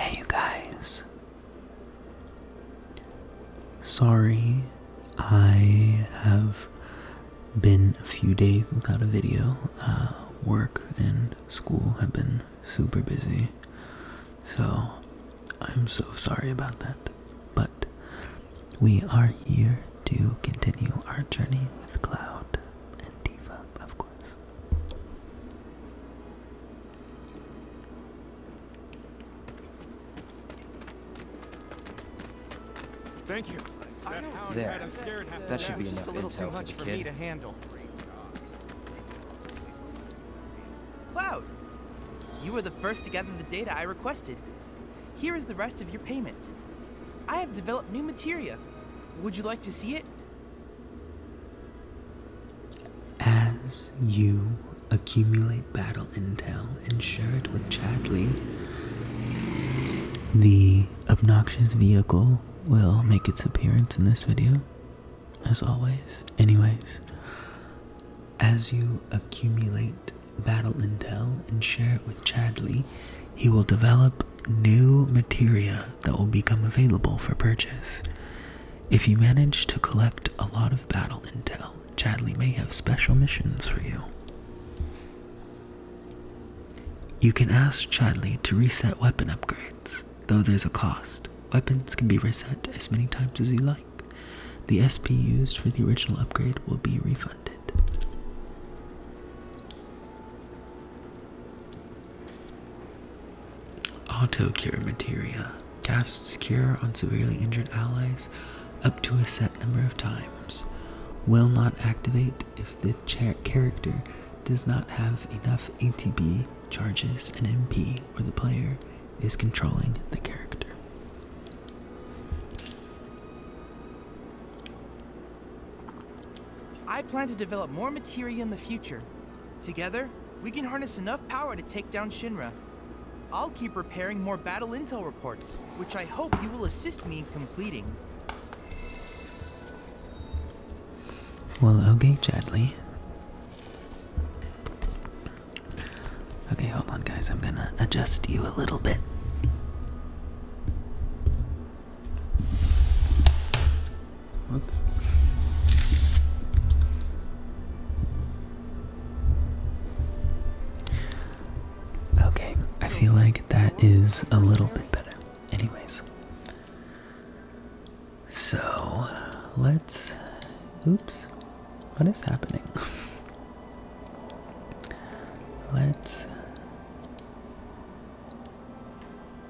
Hey, you guys. Sorry, I have been a few days without a video. Uh, work and school have been super busy. So, I'm so sorry about that. But we are here to continue our journey with Cloud and Diva, of course. Thank you. There. That should be enough intel for the for kid. Cloud, you were the first to gather the data I requested. Here is the rest of your payment. I have developed new materia. Would you like to see it? As you accumulate battle intel and share it with Chadley, the obnoxious vehicle will make its appearance in this video, as always. Anyways, as you accumulate battle intel and share it with Chadley, he will develop new materia that will become available for purchase. If you manage to collect a lot of battle intel, Chadley may have special missions for you. You can ask Chadley to reset weapon upgrades, though there's a cost. Weapons can be reset as many times as you like. The SP used for the original upgrade will be refunded. Auto cure materia casts cure on severely injured allies up to a set number of times. Will not activate if the character does not have enough ATB, charges, and MP, or the player is controlling the character. I plan to develop more materia in the future. Together, we can harness enough power to take down Shinra. I'll keep repairing more battle intel reports, which I hope you will assist me in completing. Well, okay, Chadley. Okay, hold on, guys. I'm gonna adjust you a little bit. Whoops. Okay, I feel like that is a little bit better. Anyways. So, let's. Oops. What is happening? let's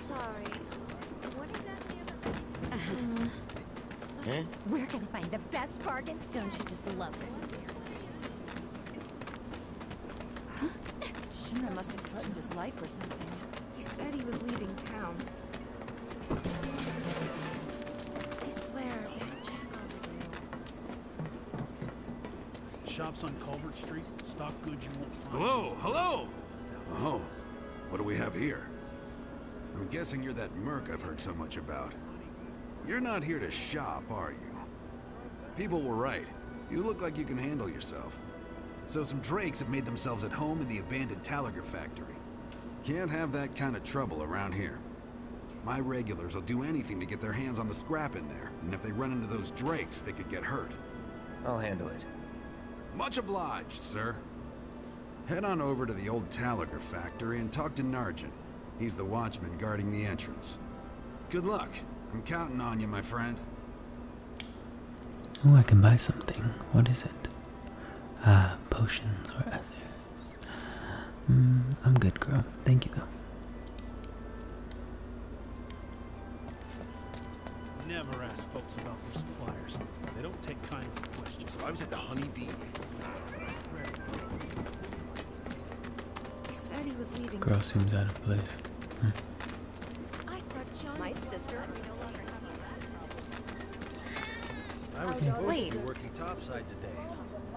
Sorry. Uh-huh. We're gonna find the best bargain. Don't you just love this? Huh? must have threatened his life or something. He said he was leaving town. I swear, there's jackal to do. Shops on Culvert Street, stock goods you won't find. Hello, hello! Oh, what do we have here? I'm guessing you're that merc I've heard so much about. You're not here to shop, are you? People were right. You look like you can handle yourself. So some drakes have made themselves at home in the abandoned Talliger factory. Can't have that kind of trouble around here. My regulars will do anything to get their hands on the scrap in there, and if they run into those drakes, they could get hurt. I'll handle it. Much obliged, sir. Head on over to the old Taliger factory and talk to Narjan. He's the watchman guarding the entrance. Good luck. I'm counting on you, my friend. Oh, I can buy something. What is it? Ah, potions or ethers. Mm, I'm good, girl. Thank you, though. Never ask folks about their suppliers. They don't take kindly to questions. So I was at the Honeybee. He said he was leaving. Girl seems out of place. Hmm. I saw John. My sister. I was supposed to be working topside today.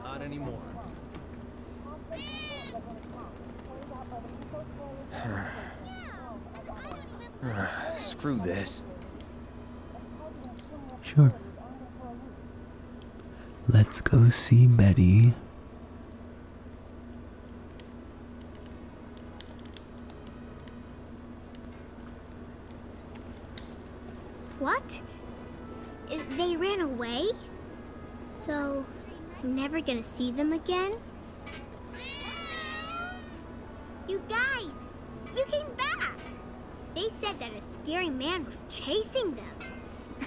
Not anymore screw this. Sure. Let's go see Betty. What? They ran away? So, I'm never gonna see them again? You guys, you came back. They said that a scary man was chasing them.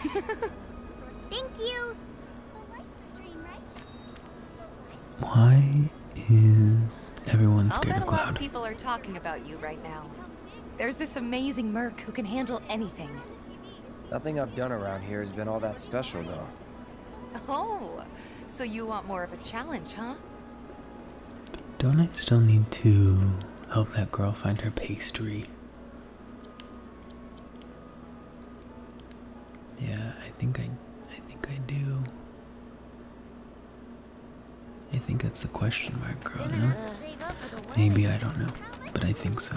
Thank you. Why is everyone scared of Cloud? I'll bet a lot of people are talking about you right now. There's this amazing Merk who can handle anything. Nothing I've done around here has been all that special, though. Oh, so you want more of a challenge, huh? Don't I still need to help that girl find her pastry? Yeah, I think I I think I do. I think that's a question mark, girl, Maybe I don't know, but I think so.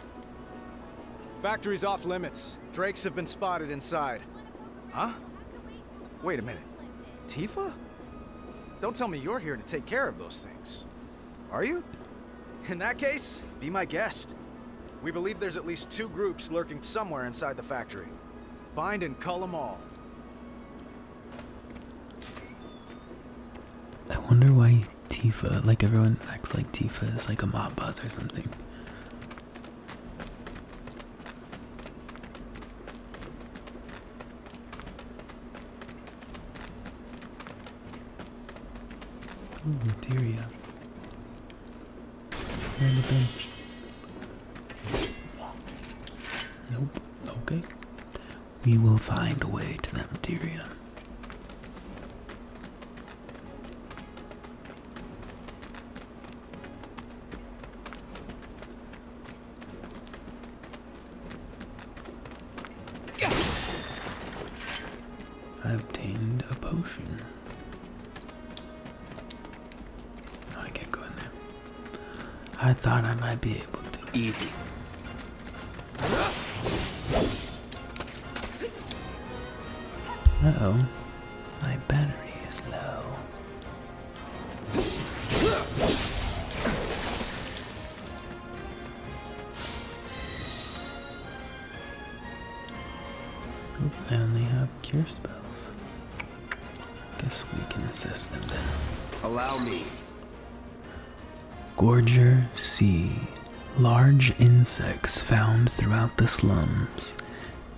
Factory's off limits. Drakes have been spotted inside. Huh? Wait a minute. Tifa? Don't tell me you're here to take care of those things. Are you? In that case, be my guest. We believe there's at least two groups lurking somewhere inside the factory. Find and cull them all. I wonder why Tifa, like everyone acts like Tifa is like a mob boss or something. Material. On the bench. Nope. Okay. We will find a way to that material. I obtained a potion. I can't I thought I might be able to. Easy oh, my battery is low. I only have cure spells. Guess we can assist them Allow me. Gorger C. Large insects found throughout the slums.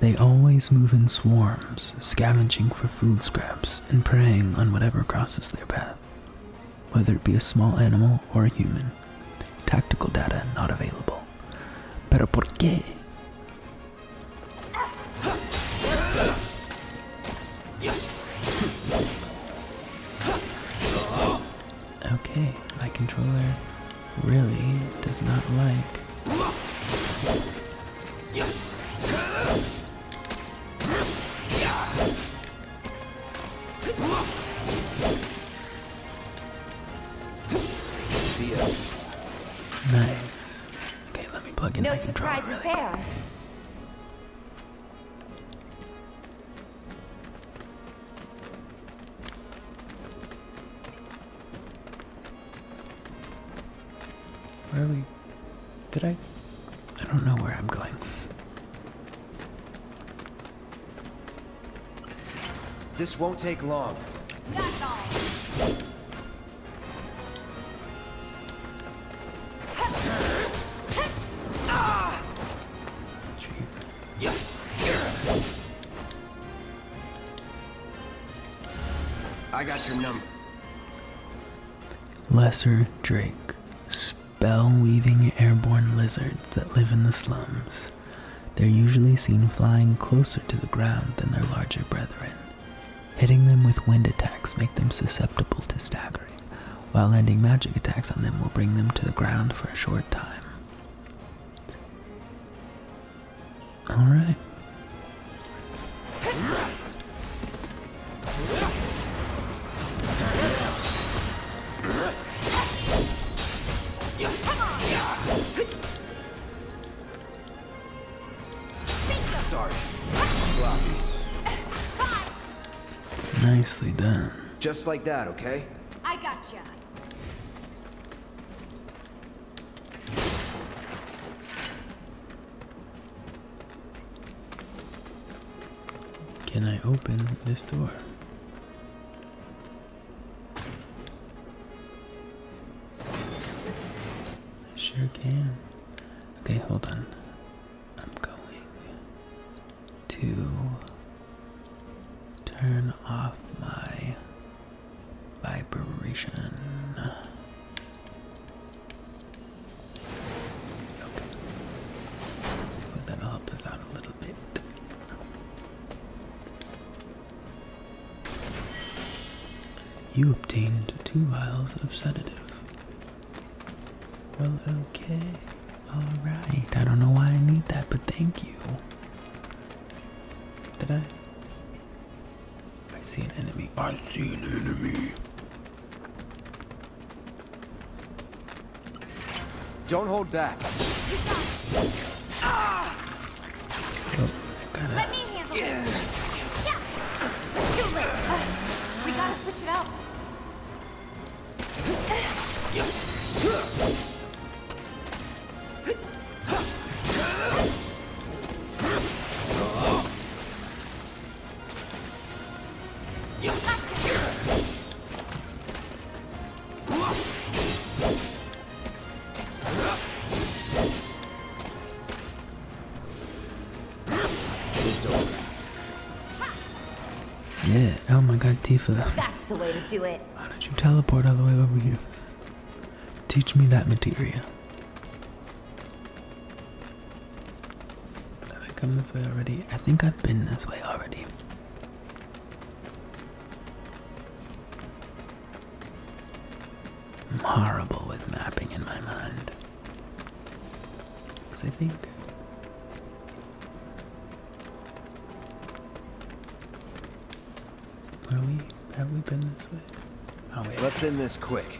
They always move in swarms, scavenging for food scraps and preying on whatever crosses their path, whether it be a small animal or a human. Tactical data not available. Pero por qué? Okay, my controller really does not like. Nice. Okay, let me plug in. No surprises there. Where are we? Did I? I don't know where I'm going. This won't take long. That's I got your number. Lesser Drake. Spell weaving airborne lizards that live in the slums. They're usually seen flying closer to the ground than their larger brethren. Hitting them with wind attacks make them susceptible to staggering, while landing magic attacks on them will bring them to the ground for a short time. All right. Nicely done. Just like that, okay? I got gotcha. Can I open this door? I sure can. Okay, hold on. I'm going to turn off my vibration. that'll help us out a little bit. You obtained two vials of sedative. Well, okay. Alright, I don't know why I need that, but thank you. Did I? I see an enemy. I see an enemy. Don't hold back. Oh, Let me handle this. Yeah. too late. we gotta switch it up. Yeah, oh my god, Tifa. That's the way to do it. Why don't you teleport all the way over here? Teach me that materia. Have I come this way already? I think I've been this way already. I'm horrible with mapping in my mind. Because I think are we? Have we been this way? Oh, Let's end this quick.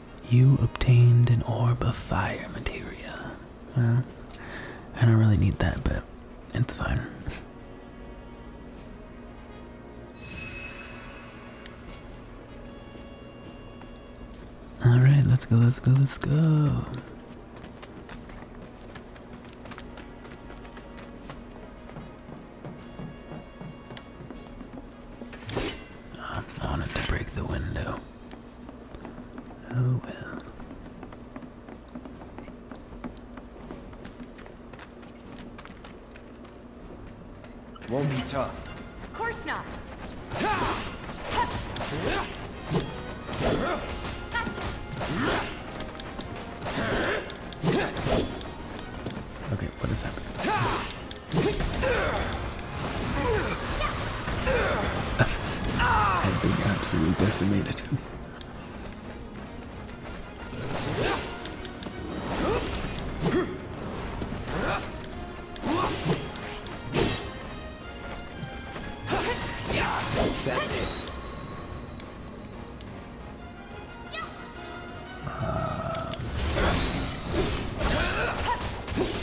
You obtained an orb of fire materia. Well, I don't really need that, but it's fine. Alright, let's go, let's go, let's go. I wanted to break the window. Oh well. Won't be tough. Of course not. Gotcha. Okay, what is happening? I've been absolutely decimated. Uh...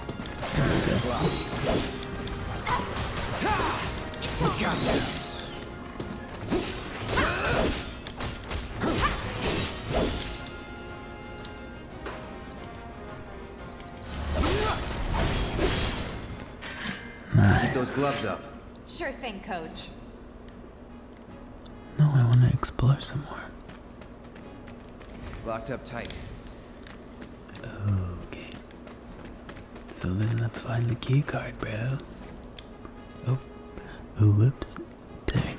those gloves up. Sure thing, coach. No, I want to explore some Locked up tight. Okay. So then let's find the key card, bro. Oh. Oh, whoops. Dang.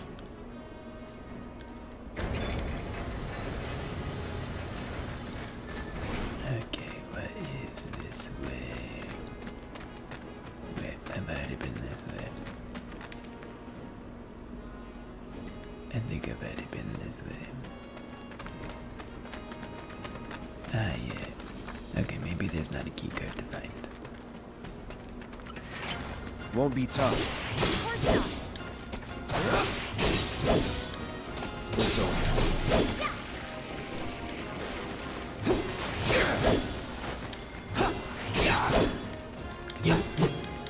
Okay, what is this way? Wait, have already been this way. I think I've already been this way. Ah, yeah. Okay, maybe there's not a key card to find. Won't be tough.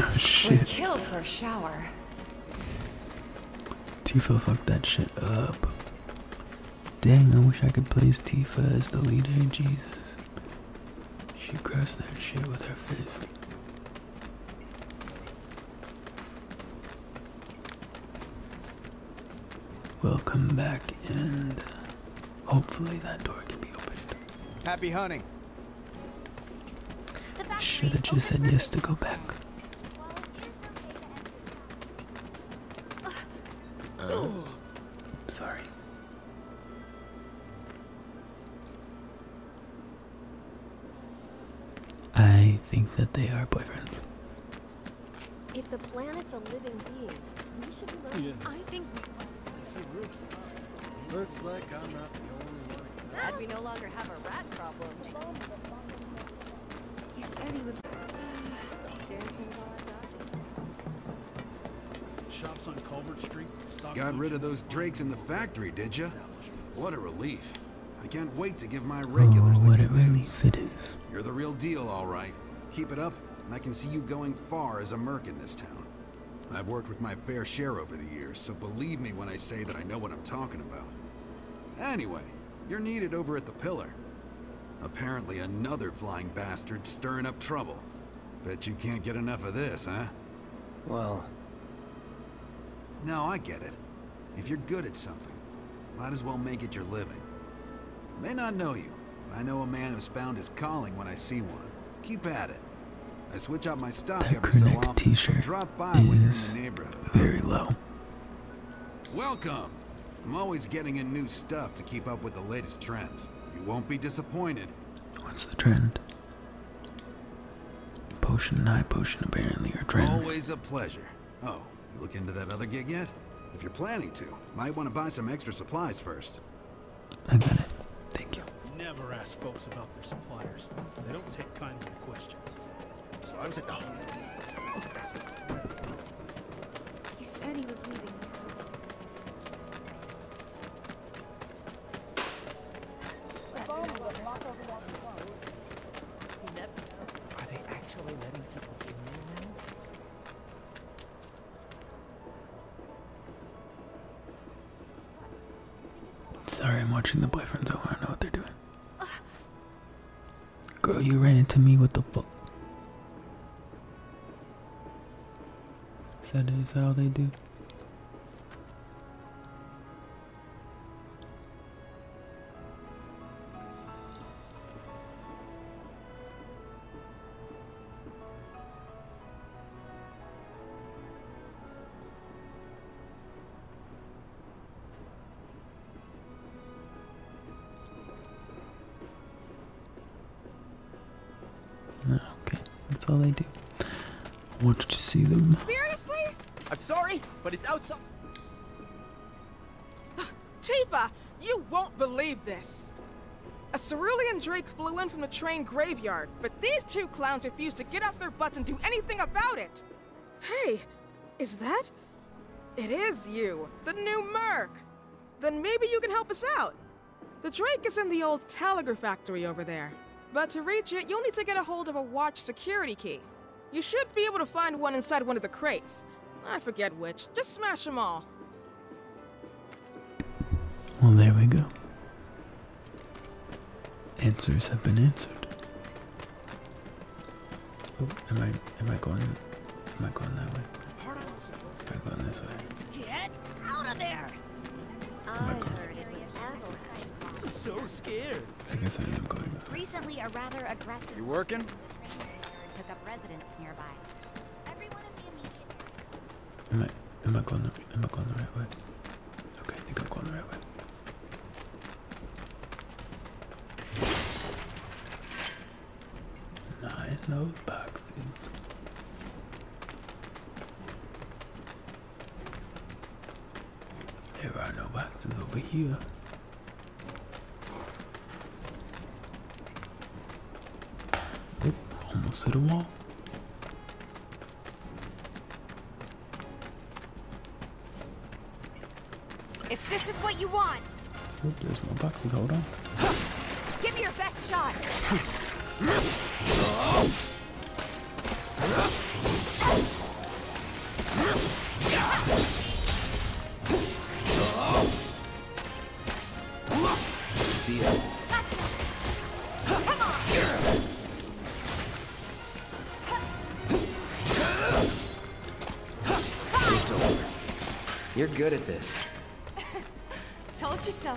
Oh shit. Would kill for a shower. Tifa fucked that shit up. Dang, I wish I could place Tifa as the leader. Jesus. She crushed that shit with her fist. We'll come back and hopefully that door can be opened. Happy hunting. Should have just said yes to go back. Uh, sorry. I think that they are boyfriends. If the planet's a living being, we should be learning. Yeah. I think we will. Looks like I'm not the only one. Glad we no longer have a rat problem. He said he was uh, dancing Shops on Culvert Street. Got rid of those drakes in the factory, did you? What a relief. I can't wait to give my regulars oh, the good news. You're the real deal, all right. Keep it up, and I can see you going far as a merc in this town. I've worked with my fair share over the years, so believe me when I say that I know what I'm talking about. Anyway, you're needed over at the Pillar. Apparently another flying bastard stirring up trouble. Bet you can't get enough of this, huh? Well... now I get it. If you're good at something, might as well make it your living. May not know you, but I know a man who's found his calling when I see one. Keep at it. I switch out my stock that every so often. T-shirt drop by when you're in the neighborhood. Very low. Welcome. I'm always getting in new stuff to keep up with the latest trends. You won't be disappointed. What's the trend? Potion and high potion apparently are trend. Always a pleasure. Oh, look into that other gig yet? If you're planning to, might want to buy some extra supplies first. I got it. Thank you. Never ask folks about their suppliers. They don't take kindly to questions. So I was at the home. He said he was leaving. Are they actually letting people in now? Sorry, I'm watching the boyfriends. I don't know what they're doing. Girl, you ran into me with the book. is that how they do? Okay, that's all they do. I wanted to see them. Seriously? I'm sorry, but it's outside. Tifa, you won't believe this. A cerulean drake blew in from the train graveyard, but these two clowns refuse to get off their butts and do anything about it. Hey, is that? It is you, the new Merc. Then maybe you can help us out. The Drake is in the old telegraph factory over there, but to reach it, you'll need to get a hold of a watch security key. You should be able to find one inside one of the crates. I forget which. Just smash them all. Well, there we go. Answers have been answered. Oh, am I am I going am I going that way? Am I going this way? Get out of there! Am I going? I'm so scared. I guess I am going this way. Recently, a rather aggressive. You working? Took up residence nearby. Am I am I going the am I going the right way? Okay, I think I'm going the right way. Not in boxes. There are no boxes over here. Oop, almost hit a wall. If this is what you want. Oop, there's more boxes, hold on. Give me your best shot. You're good at this. Told you so.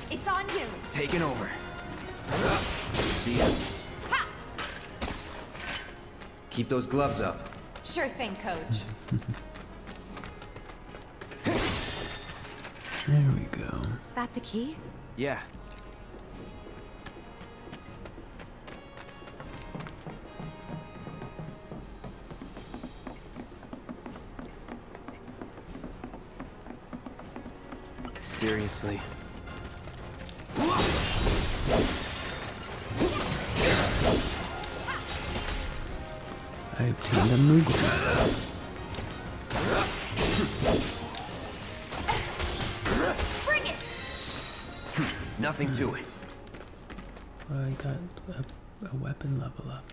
It's on you. Taking over. See ya. Keep those gloves up. Sure thing, coach. there we go. That the key? Yeah. Seriously. I obtained a Moogle. Nothing to it. I got a weapon level up.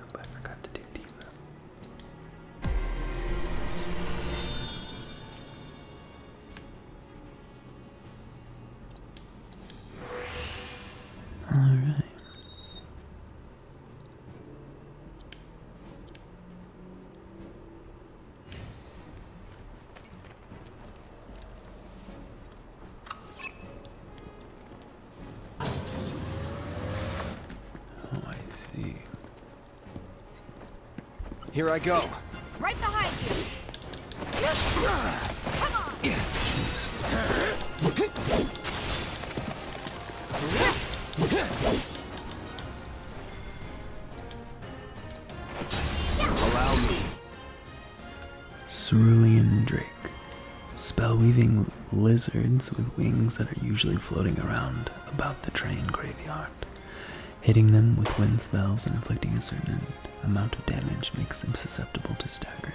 Nope, I forgot to do Diva. All right. Oh, I see. Here I go. Right behind you. Cerulean Drake. spell-weaving lizards with wings that are usually floating around about the train graveyard. Hitting them with wind spells and inflicting a certain amount of damage makes them susceptible to stagger.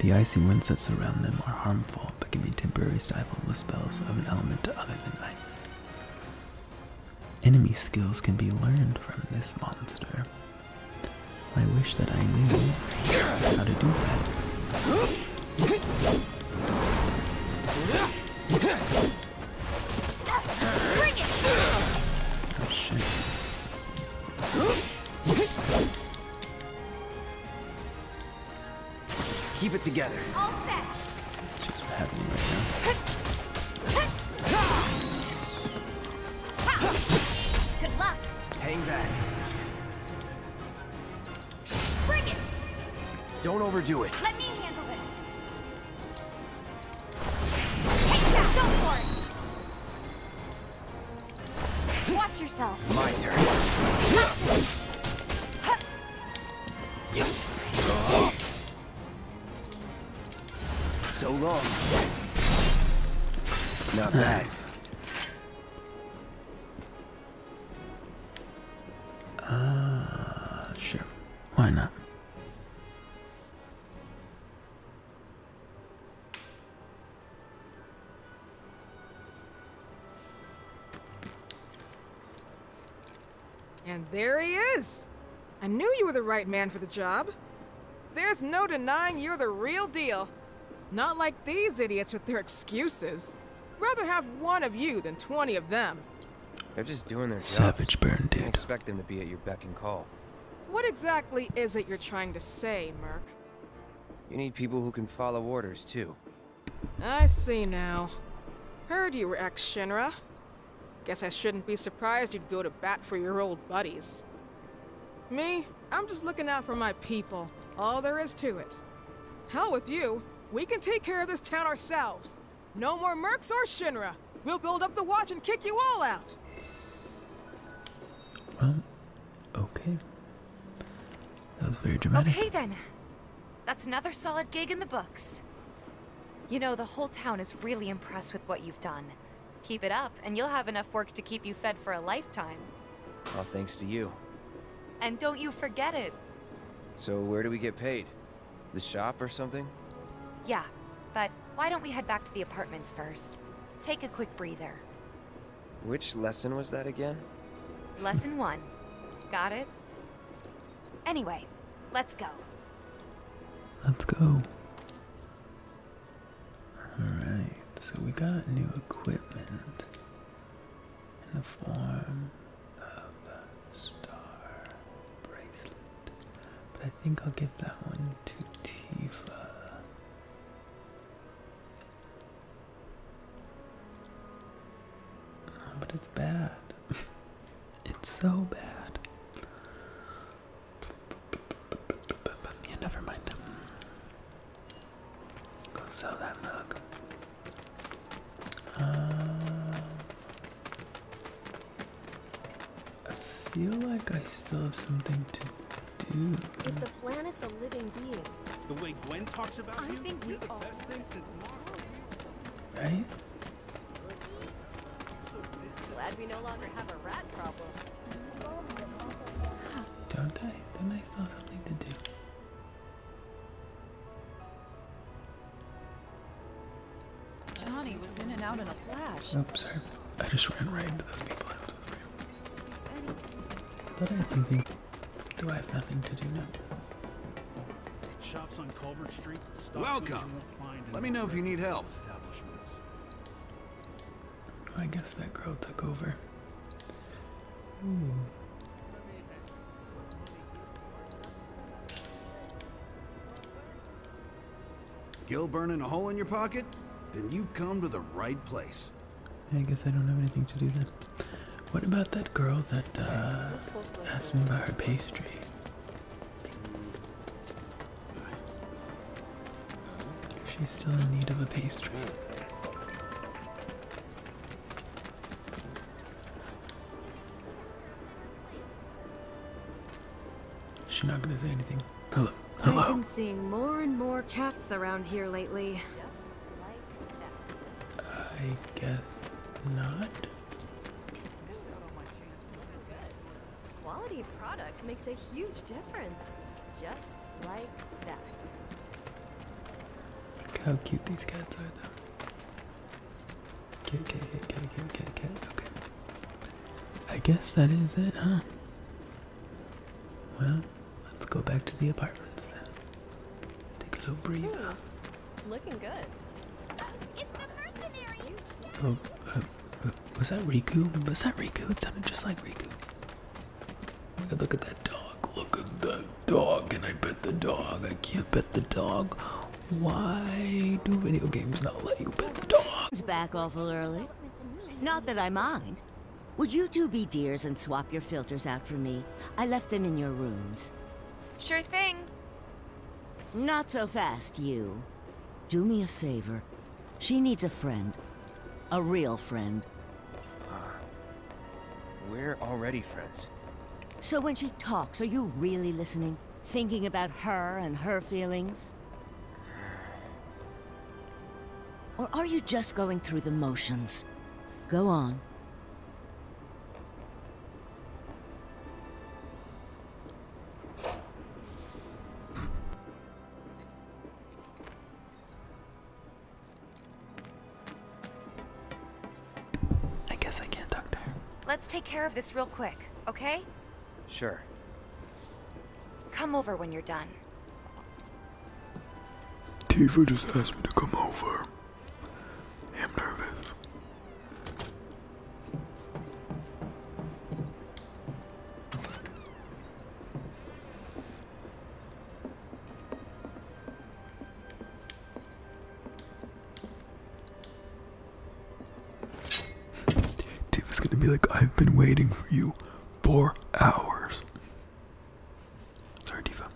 The icy winds that surround them are harmful, but can be temporarily stifled with spells of an element other than ice. Enemy skills can be learned from this monster. I wish that I knew how to do that. Oh shit. Keep it together. All set. It's just happening right now. Good luck. Hang back. Bring it. Don't overdo it. Let me handle this. Take that. Go Watch yourself. My turn. Watch So long. Not bad. Nice. Uh, sure. Why not? And there he is! I knew you were the right man for the job. There's no denying you're the real deal. Not like these idiots with their excuses. Rather have one of you than 20 of them. They're just doing their job. Savage burn, dude. Expect them to be at your beck and call. What exactly is it you're trying to say, Merc? You need people who can follow orders, too. I see now. Heard you were ex-Shinra. Guess I shouldn't be surprised you'd go to bat for your old buddies. Me? I'm just looking out for my people. All there is to it. Hell with you. We can take care of this town ourselves. No more mercs or Shinra. We'll build up the watch and kick you all out. Okay. That was very dramatic. Okay then. That's another solid gig in the books. You know, the whole town is really impressed with what you've done. Keep it up, and you'll have enough work to keep you fed for a lifetime. All thanks to you. And don't you forget it. So where do we get paid? The shop or something? Yeah, but why don't we head back to the apartments first? Take a quick breather. Which lesson was that again? Lesson one. Got it? Anyway, let's go. Let's go. Alright, so we got new equipment in the form of a star bracelet. But I think I'll give that one to Tifa. Ah, but it's bad. it's so bad. Yeah, never mind. Go sell that mug. Uh, I feel like I still have something to do. The planet's a living being. The way Gwen talks about I you, think we the best thing since Marvel. Right? Glad we no longer have a rat problem. Don't I? Don't I still have something to do? Johnny was in and out in a flash. Oops, I, I just ran right into those people. But I had something. Do I have nothing to do now? Shops on Culvert Street. Welcome. Let me know if you need help. I guess that girl took over. Gilburn burning a hole in your pocket? Then you've come to the right place. I guess I don't have anything to do then. What about that girl that uh, asked me about her pastry? She's still in need of a pastry. She's not gonna say anything Hello. Hello. I've been seeing more and more cats around here lately. I guess not. Quality product makes a huge difference. Just like that. Look how cute these cats are though. Cat, cat, cat, cat, cat, cat, cat, okay. I guess that is it, huh? Well, let's go back to the apartments then. Take a little breather. Looking good. It's the mercenary. Oh, uh, uh, was that Riku? Was that Riku? It sounded just like Riku. Look at that dog. Look at that dog. And I bet the dog. I can't bet the dog. Why do video games not let you bet the dog? It's back awful early. Not that I mind. Would you two be dears and swap your filters out for me? I left them in your rooms. Sure thing. Not so fast, you. Do me a favor. She needs a friend. A real friend. Uh, we're already friends. So when she talks, are you really listening? Thinking about her and her feelings? Or are you just going through the motions? Go on. I guess I can't talk Let's take care of this real quick, okay? Sure. Come over when you're done. Tifa just asked me to come over. I'm nervous. Tifa's gonna be like, I've been waiting for you four hours. Sorry, Diva.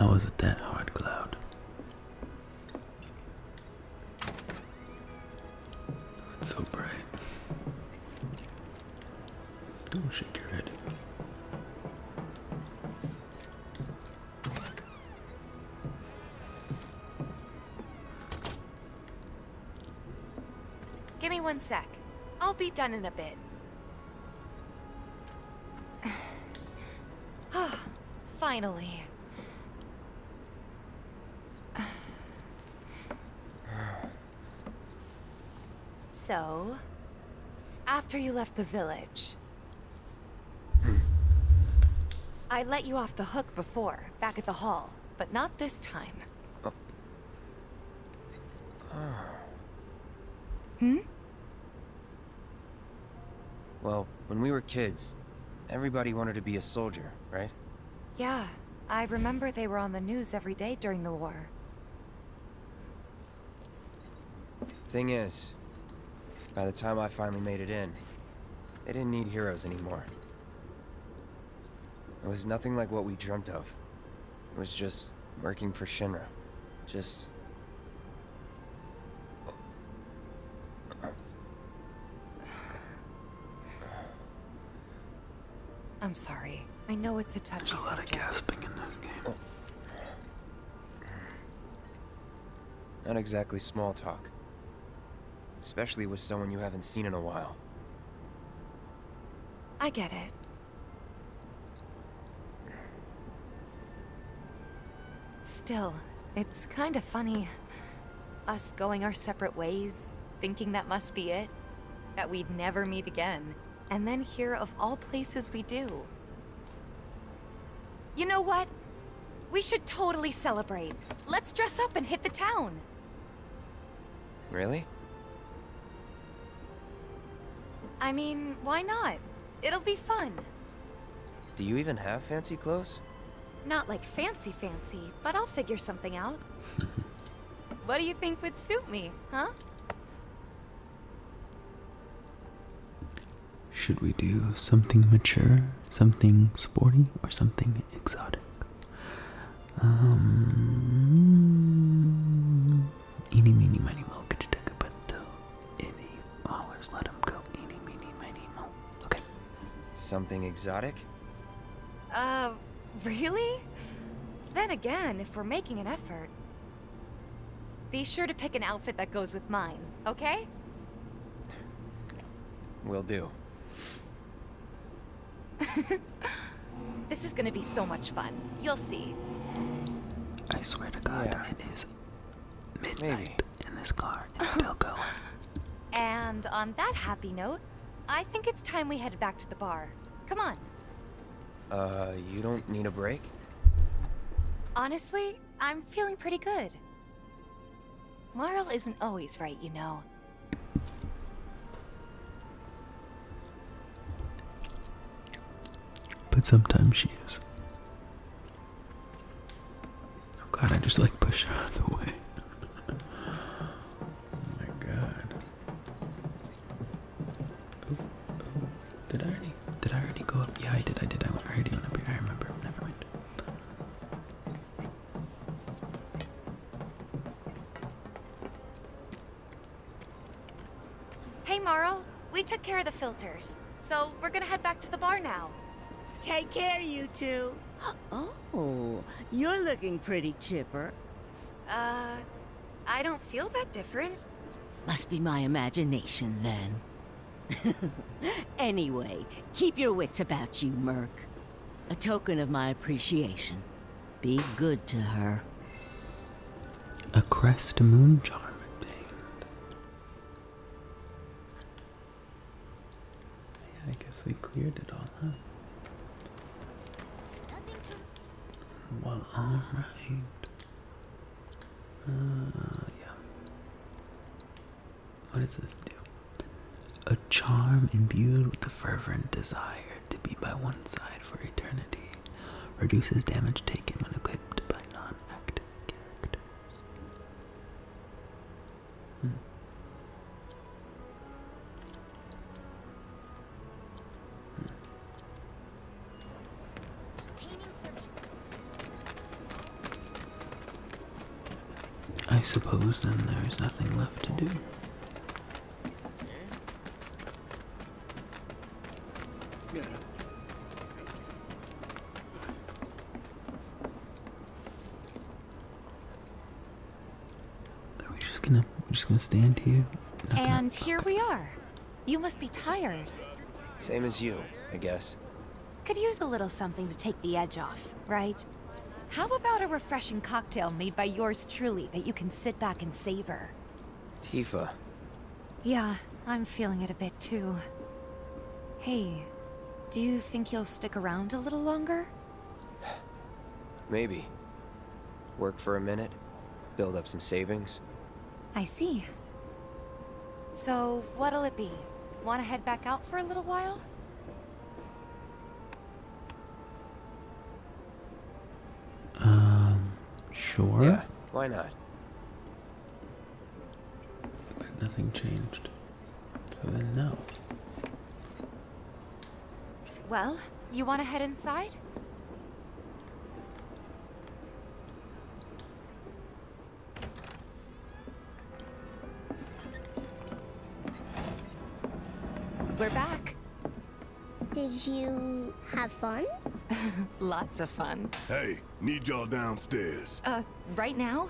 Now was it that hard, Cloud? It's so bright. Don't shake your head. Give me one sec. I'll be done in a bit. Ah, finally. so, after you left the village, I let you off the hook before, back at the hall but not this time. Oh. Ah. Hmm? Well, when we were kids, everybody wanted to be a soldier, right? Yeah, I remember they were on the news every day during the war. Thing is, by the time I finally made it in, they didn't need heroes anymore. It was nothing like what we dreamt of. It was just working for Shinra. Just... I'm sorry. I know it's a touchy There's a lot of gasping in this game. Oh. Not exactly small talk. Especially with someone you haven't seen in a while. I get it. Still, it's kind of funny. Us going our separate ways, thinking that must be it. That we'd never meet again. And then here, of all places, we do. You know what? We should totally celebrate. Let's dress up and hit the town. Really? I mean, why not? It'll be fun. Do you even have fancy clothes? Not like fancy fancy, but I'll figure something out. what do you think would suit me, huh? Should we do something mature, something sporty, or something exotic? Um, eeny, meeny, miny, mo, could you take a bento? If hollers, let him go. Eeny, meeny, miny, mo. Okay. Something exotic? Uh, really? Then again, if we're making an effort, be sure to pick an outfit that goes with mine, okay? Will do. this is gonna be so much fun. You'll see. I swear to God, yeah. it is midnight, and this car is still going. And on that happy note, I think it's time we headed back to the bar. Come on. Uh, you don't need a break? Honestly, I'm feeling pretty good. Marl isn't always right, you know. But sometimes she is. Oh god, I just like push her out of the way. oh my god. Did I already did I already go up? Yeah I did, I did. I went already went up here. I remember. Never mind. Hey, Morrow. We took care of the filters, so we're gonna head back to the bar now. Take care, you two. Oh, you're looking pretty chipper. Uh, I don't feel that different. Must be my imagination, then. anyway, keep your wits about you, Merc. A token of my appreciation. Be good to her. A crest moon charm obtained. Yeah, I guess we cleared it all, huh? Well, alright. Uh, yeah. What does this do? a charm imbued with the fervent desire to be by one's side for eternity, reduces damage taken when equipped by non-active characters. Hmm. Hmm. I suppose then there is nothing left to do. Are we just gonna we're just gonna stand here? and here we are. You must be tired. Same as you, I guess. Could use a little something to take the edge off, right? How about a refreshing cocktail made by yours truly that you can sit back and savor? Tifa. Yeah, I'm feeling it a bit too. Hey, do you think you'll stick around a little longer? Maybe. Work for a minute, build up some savings. I see. So, what'll it be? Want to head back out for a little while? Um, sure. Yeah, why not? But nothing changed. So then, no. Well, you want to head inside? We're back. Did you have fun? Lots of fun. Hey, need y'all downstairs. Uh, right now?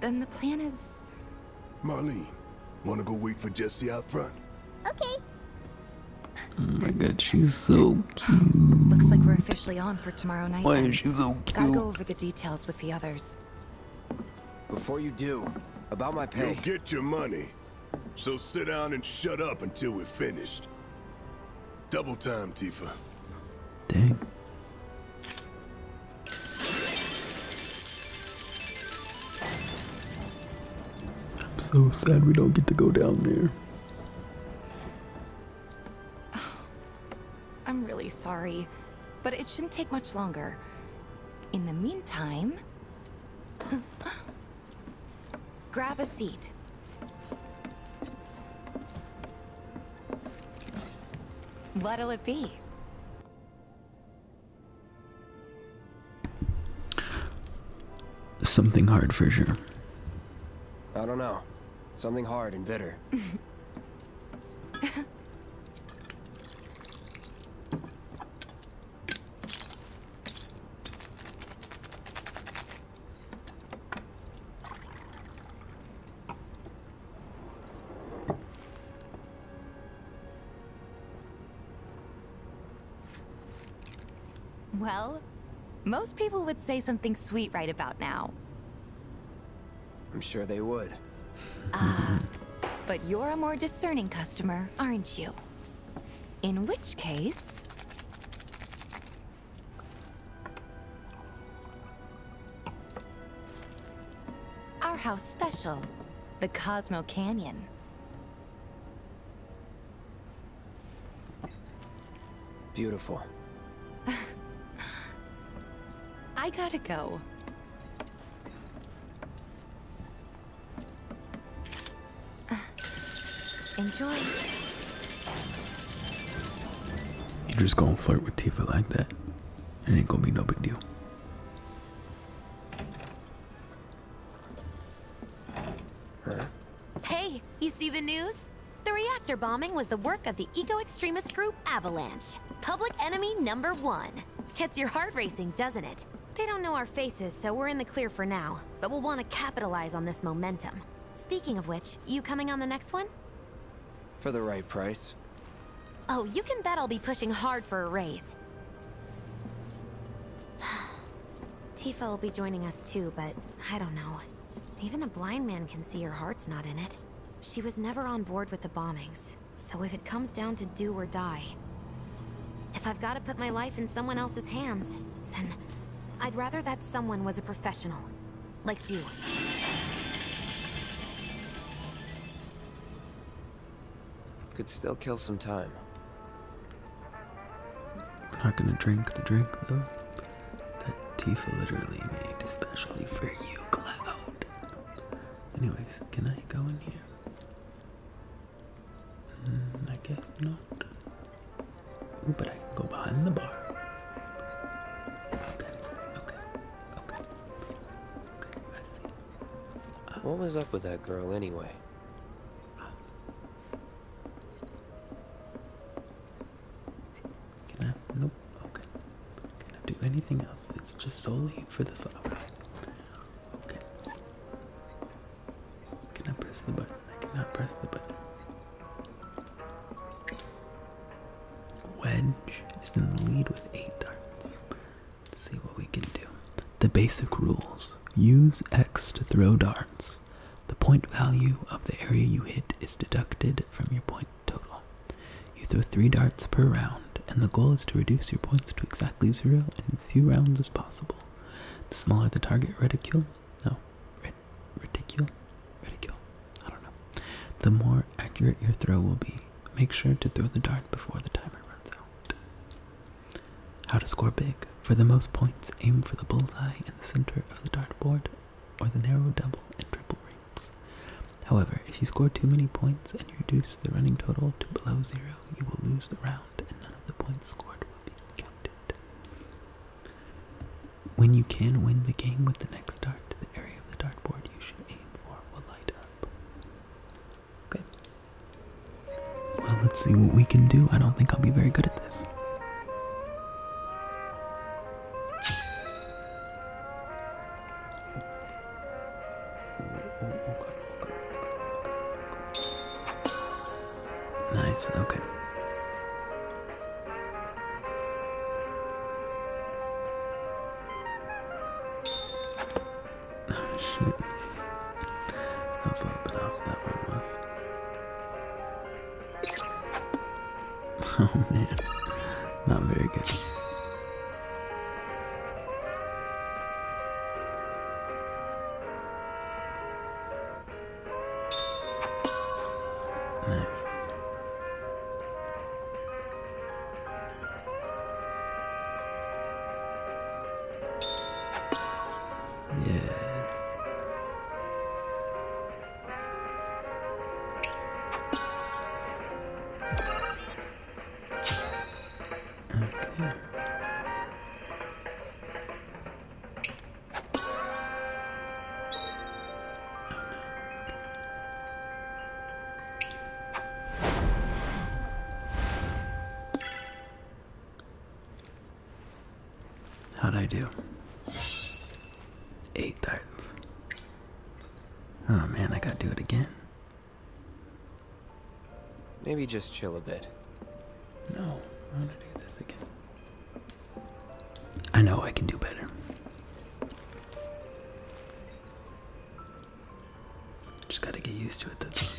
Then the plan is... Marlene, wanna go wait for Jesse out front? Okay. Oh my god, she's so cute. Looks like we're officially on for tomorrow night. Why is she so cute? Gotta go over the details with the others. Before you do, about my pay... You'll get your money. So sit down and shut up until we're finished. Double time, Tifa. Dang. I'm so sad we don't get to go down there. I'm really sorry. But it shouldn't take much longer. In the meantime... grab a seat. What'll it be? Something hard for sure. I don't know. Something hard and bitter. Well, most people would say something sweet right about now. I'm sure they would. Ah, but you're a more discerning customer, aren't you? In which case... Our house special, the Cosmo Canyon. Beautiful. I gotta go. Uh, enjoy. you just gonna flirt with Tifa like that. It ain't gonna be no big deal. Hey, you see the news? The reactor bombing was the work of the eco-extremist group Avalanche, public enemy number one. Gets your heart racing, doesn't it? They don't know our faces, so we're in the clear for now. But we'll want to capitalize on this momentum. Speaking of which, you coming on the next one? For the right price. Oh, you can bet I'll be pushing hard for a raise. Tifa will be joining us too, but I don't know. Even a blind man can see her heart's not in it. She was never on board with the bombings, so if it comes down to do or die, if I've got to put my life in someone else's hands, then I'd rather that someone was a professional, like you. Could still kill some time. We're not gonna drink the drink, though. That Tifa literally made especially for you, Cloud. Anyways, can I go in here? Mm, I guess not. but I can go behind the bar. Okay, okay, okay. Okay, I see. Uh, what was up with that girl anyway? can I? Nope. Okay. Can I do anything else? It's just solely for the fun. Okay. press the button? I cannot press the button. Wedge is in the lead with eight darts. see what we can do. The basic rules. Use X to throw darts. The point value of the area you hit is deducted from your point total. You throw three darts per round, and the goal is to reduce your points to exactly zero in as few rounds as possible. The smaller the target reticule, no, ret reticule, reticule, I don't know, the more accurate your throw will be. Make sure to throw the dart before the timer runs out. How to score big. For the most points, aim for the bullseye in the center of the dartboard or the narrow double and triple rings. However, if you score too many points and reduce the running total to below zero, you will lose the round and none of the points scored will be counted. When you can win the game with the next dart, the area of the dartboard you should aim for will light up. Okay. Well, let's see what we can do. I don't think I'll be very good at this. Nice, okay. Oh shit. That was a little bit off that one was. Oh man. Not very good. Nice. Yeah. Okay. How'd I do? Eight times. Oh man, I gotta do it again. Maybe just chill a bit. No, I want to do this again. I know I can do better. Just gotta get used to it, that's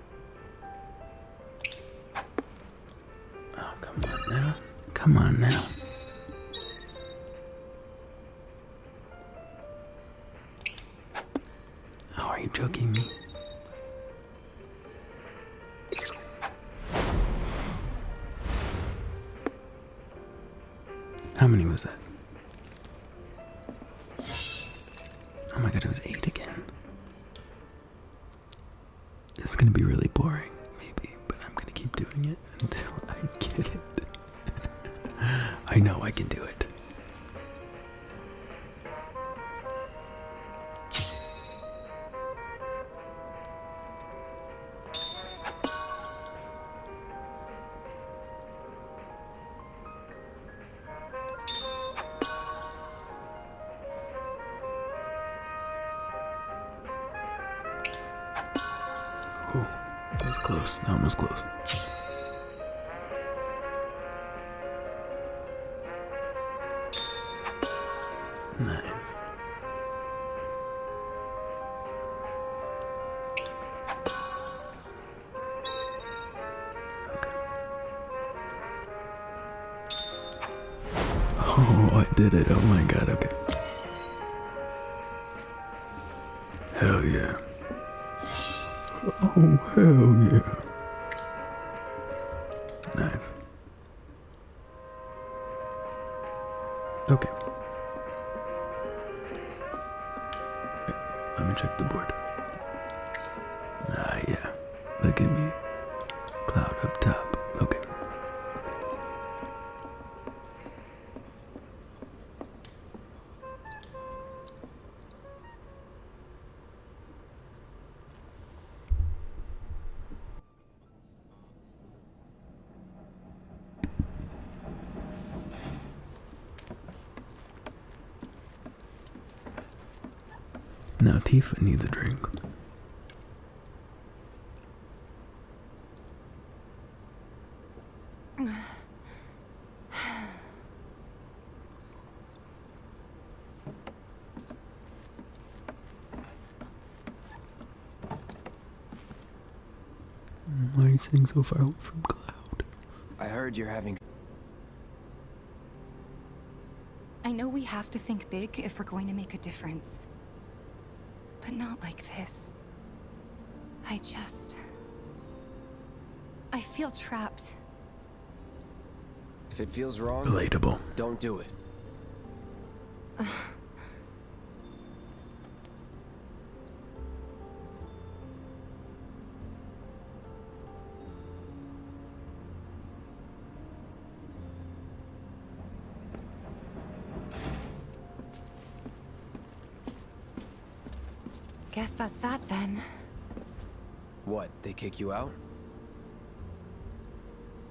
Oh, come on now. Come on now. Oh, are you joking me? How many was that? Oh my god, it was 8 again. This is gonna be really boring, maybe, but I'm gonna keep doing it until I get it. I know I can do it. Ooh, close. That one was close. Nice. Oh, I did it. Oh my god, okay. Hell yeah. Oh, hell yeah. Knife. Okay. let me check the board. Ah, yeah. Look at me. Cloud up top. Okay. Now Tifa needs a drink. Why are you sitting so far from Cloud? I heard you're having I know we have to think big if we're going to make a difference. But not like this. I just... I feel trapped. If it feels wrong, relatable. Don't do it. Guess that's that then. What, they kick you out?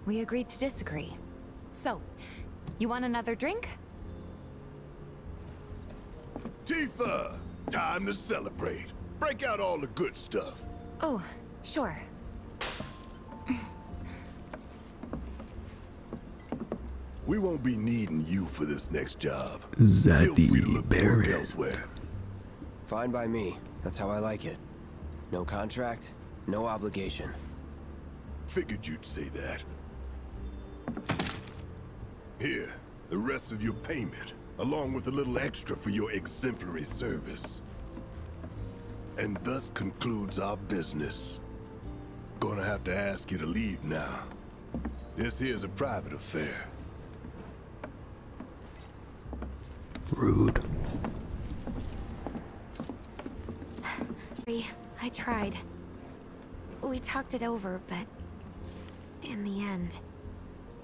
We agreed to disagree. So, you want another drink? Tifa! Time to celebrate. Break out all the good stuff. Oh, sure. We won't be needing you for this next job. Zaddy Feel free Barrett. elsewhere. Fine by me. That's how I like it. No contract, no obligation. Figured you'd say that. Here, the rest of your payment, along with a little extra for your exemplary service. And thus concludes our business. Gonna have to ask you to leave now. This here's a private affair. Rude. I tried. We talked it over, but... In the end...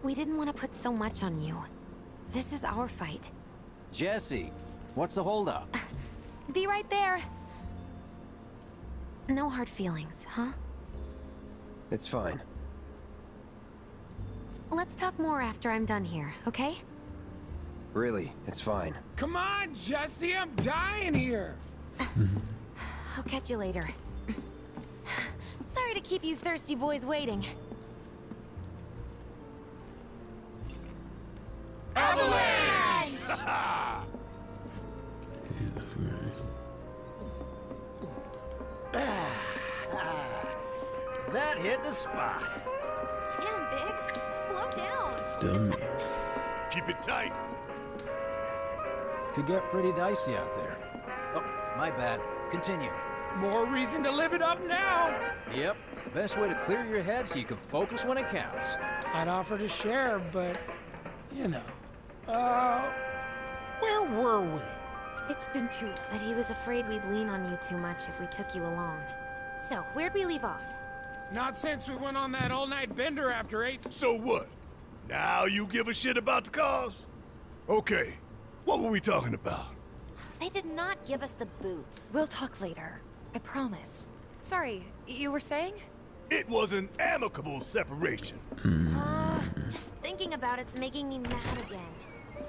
We didn't want to put so much on you. This is our fight. Jesse, what's the holdup? Be right there. No hard feelings, huh? It's fine. Let's talk more after I'm done here, okay? Really, it's fine. Come on, Jesse, I'm dying here! I'll catch you later. Sorry to keep you thirsty boys waiting. Avalanche! yeah, that hit the spot. Damn, Bix, Slow down. Still me. keep it tight. Could get pretty dicey out there. Oh, my bad. Continue. More reason to live it up now! Yep. Best way to clear your head so you can focus when it counts. I'd offer to share, but... you know. Uh... Where were we? It's been two. But he was afraid we'd lean on you too much if we took you along. So, where'd we leave off? Not since we went on that all-night bender after eight... So what? Now you give a shit about the cause? Okay, what were we talking about? They did not give us the boot. We'll talk later. I promise. Sorry, you were saying? It was an amicable separation. Uh, just thinking about it's making me mad again.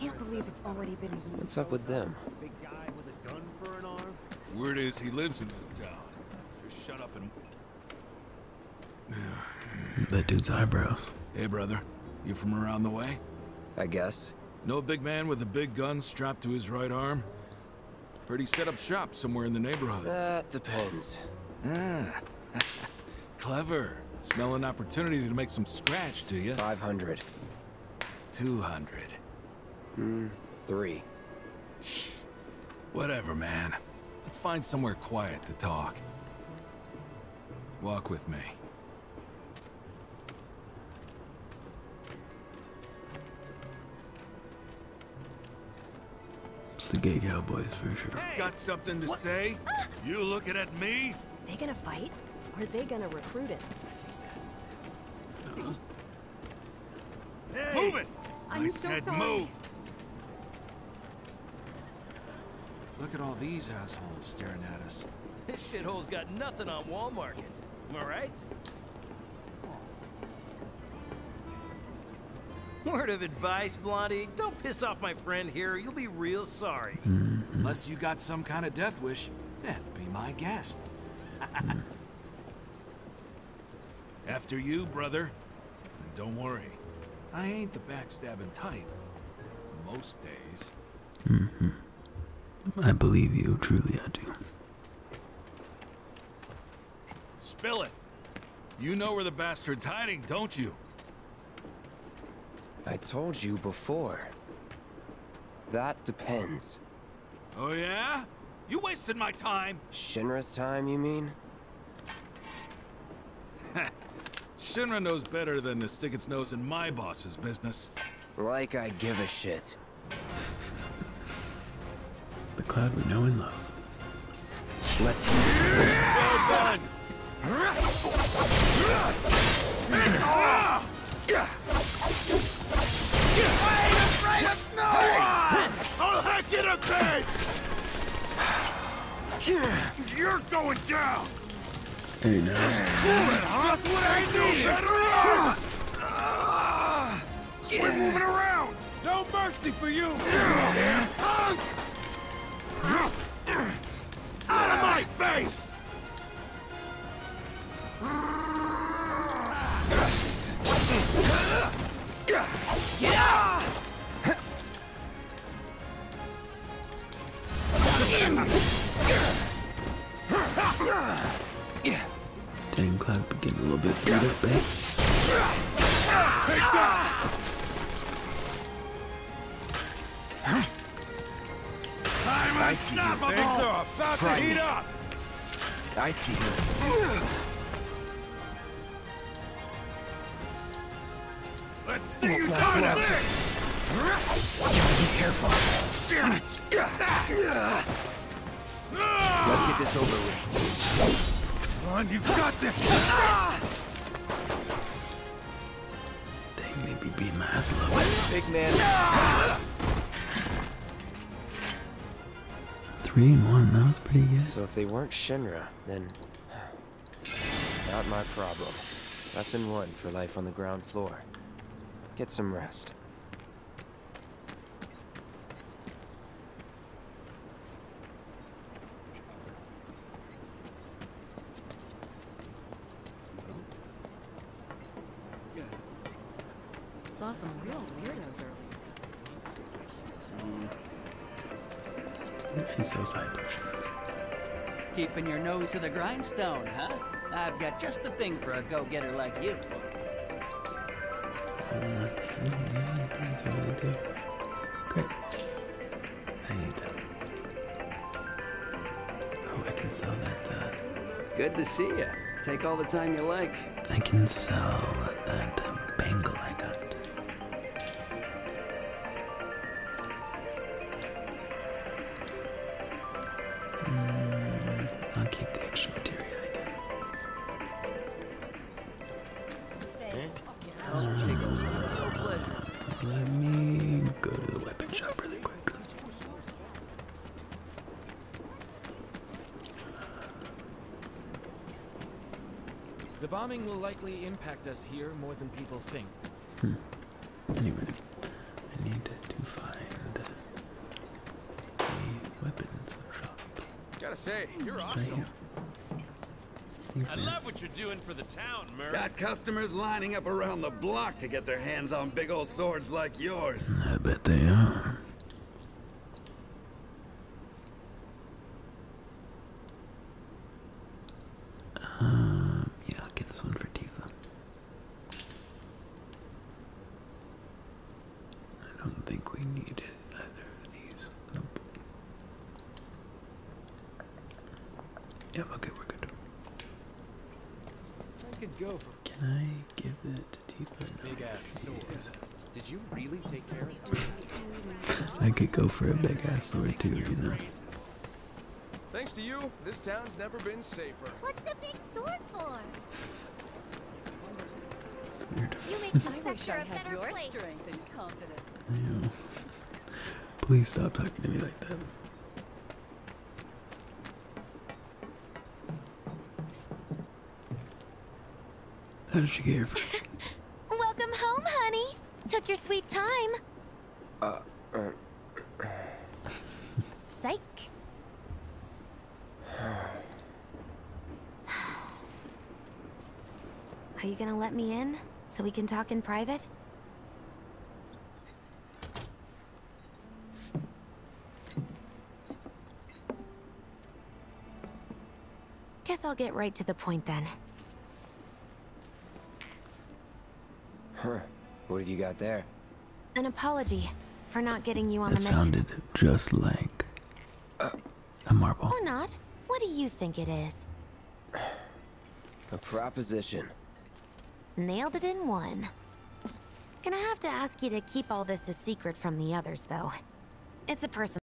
Can't believe it's already been What's up with them? Weird is he lives in this town. Just shut up and... That dude's eyebrows. Hey, brother. You from around the way? I guess. Know a big man with a big gun strapped to his right arm? Pretty set up shop somewhere in the neighborhood. That depends. Ah. Clever. Smell an opportunity to make some scratch, do you? 500. 200. Hmm. Three. Whatever, man. Let's find somewhere quiet to talk. Walk with me. It's the gay cowboys for sure. Got something to say? Ah! You looking at me? They gonna fight? are they gonna recruit it? Huh? Hey. Move it! I'm I said move! Look at all these assholes staring at us. This shithole's got nothing on Walmart. Am I right? Word of advice, Blondie. Don't piss off my friend here. You'll be real sorry. Unless you got some kind of death wish, that'd be my guess. After you, brother. And don't worry, I ain't the backstabbing type. Most days. Mm-hmm. I believe you, truly I do. Spill it. You know where the bastard's hiding, don't you? I told you before. That depends. Oh yeah? You wasted my time! Shinra's time, you mean? Shinra knows better than to stick its nose in my boss's business. Like I give a shit. the cloud we know and love. Let's do well I ain't afraid of no one! I'll hack you to bits! You're going down. Just cool it, huh? We're moving around. No mercy for you. Out of my face! Get yeah. Dang, Cloud getting a little bit beat babe. I'm Things are about to heat up! I see you. Let's see you done up. Be careful. Let's get this over with. Come on, you got this. They maybe beat my ass a Big man. Three and one, that was pretty good. So if they weren't Shinra, then not my problem. Lesson one for life on the ground floor. Get some rest. Saw some real weirdos early. If he sells high potions. Keeping your nose to the grindstone, huh? I've got just the thing for a go-getter like you. Great. I need that. Oh, I can sell that. Uh... Good to see you. Take all the time you like. I can sell that uh, bangle I got. Mm, I'll keep the extra material, I guess. Uh, let me go to the weapon shop really quick. The bombing will likely impact us here more than people think. Hmm. Anyway, I need to find a weapons shop. Gotta say, you're awesome. I love what you're doing for the town, Murray. Got customers lining up around the block to get their hands on big old swords like yours. I bet they are. Um, yeah, I'll get this one for Tifa. I don't think we need it either of these. Yep, okay, we're good. Can I give that to Tifa? Big ass sword. Did you really take care of it? I could go for a big ass sword too, you know. Thanks to you, this town's never been safer. What's the big sword for? Weird. You make the sector a better your Strength and confidence. Ew. Please stop talking to me like that. How did you get here? Welcome home, honey. Took your sweet time. Uh, uh. Psych. Are you gonna let me in so we can talk in private? Guess I'll get right to the point then. Huh. What have you got there? An apology for not getting you on that the mission. sounded just like a marble. Or not. What do you think it is? A proposition. Nailed it in one. Gonna have to ask you to keep all this a secret from the others, though. It's a personal...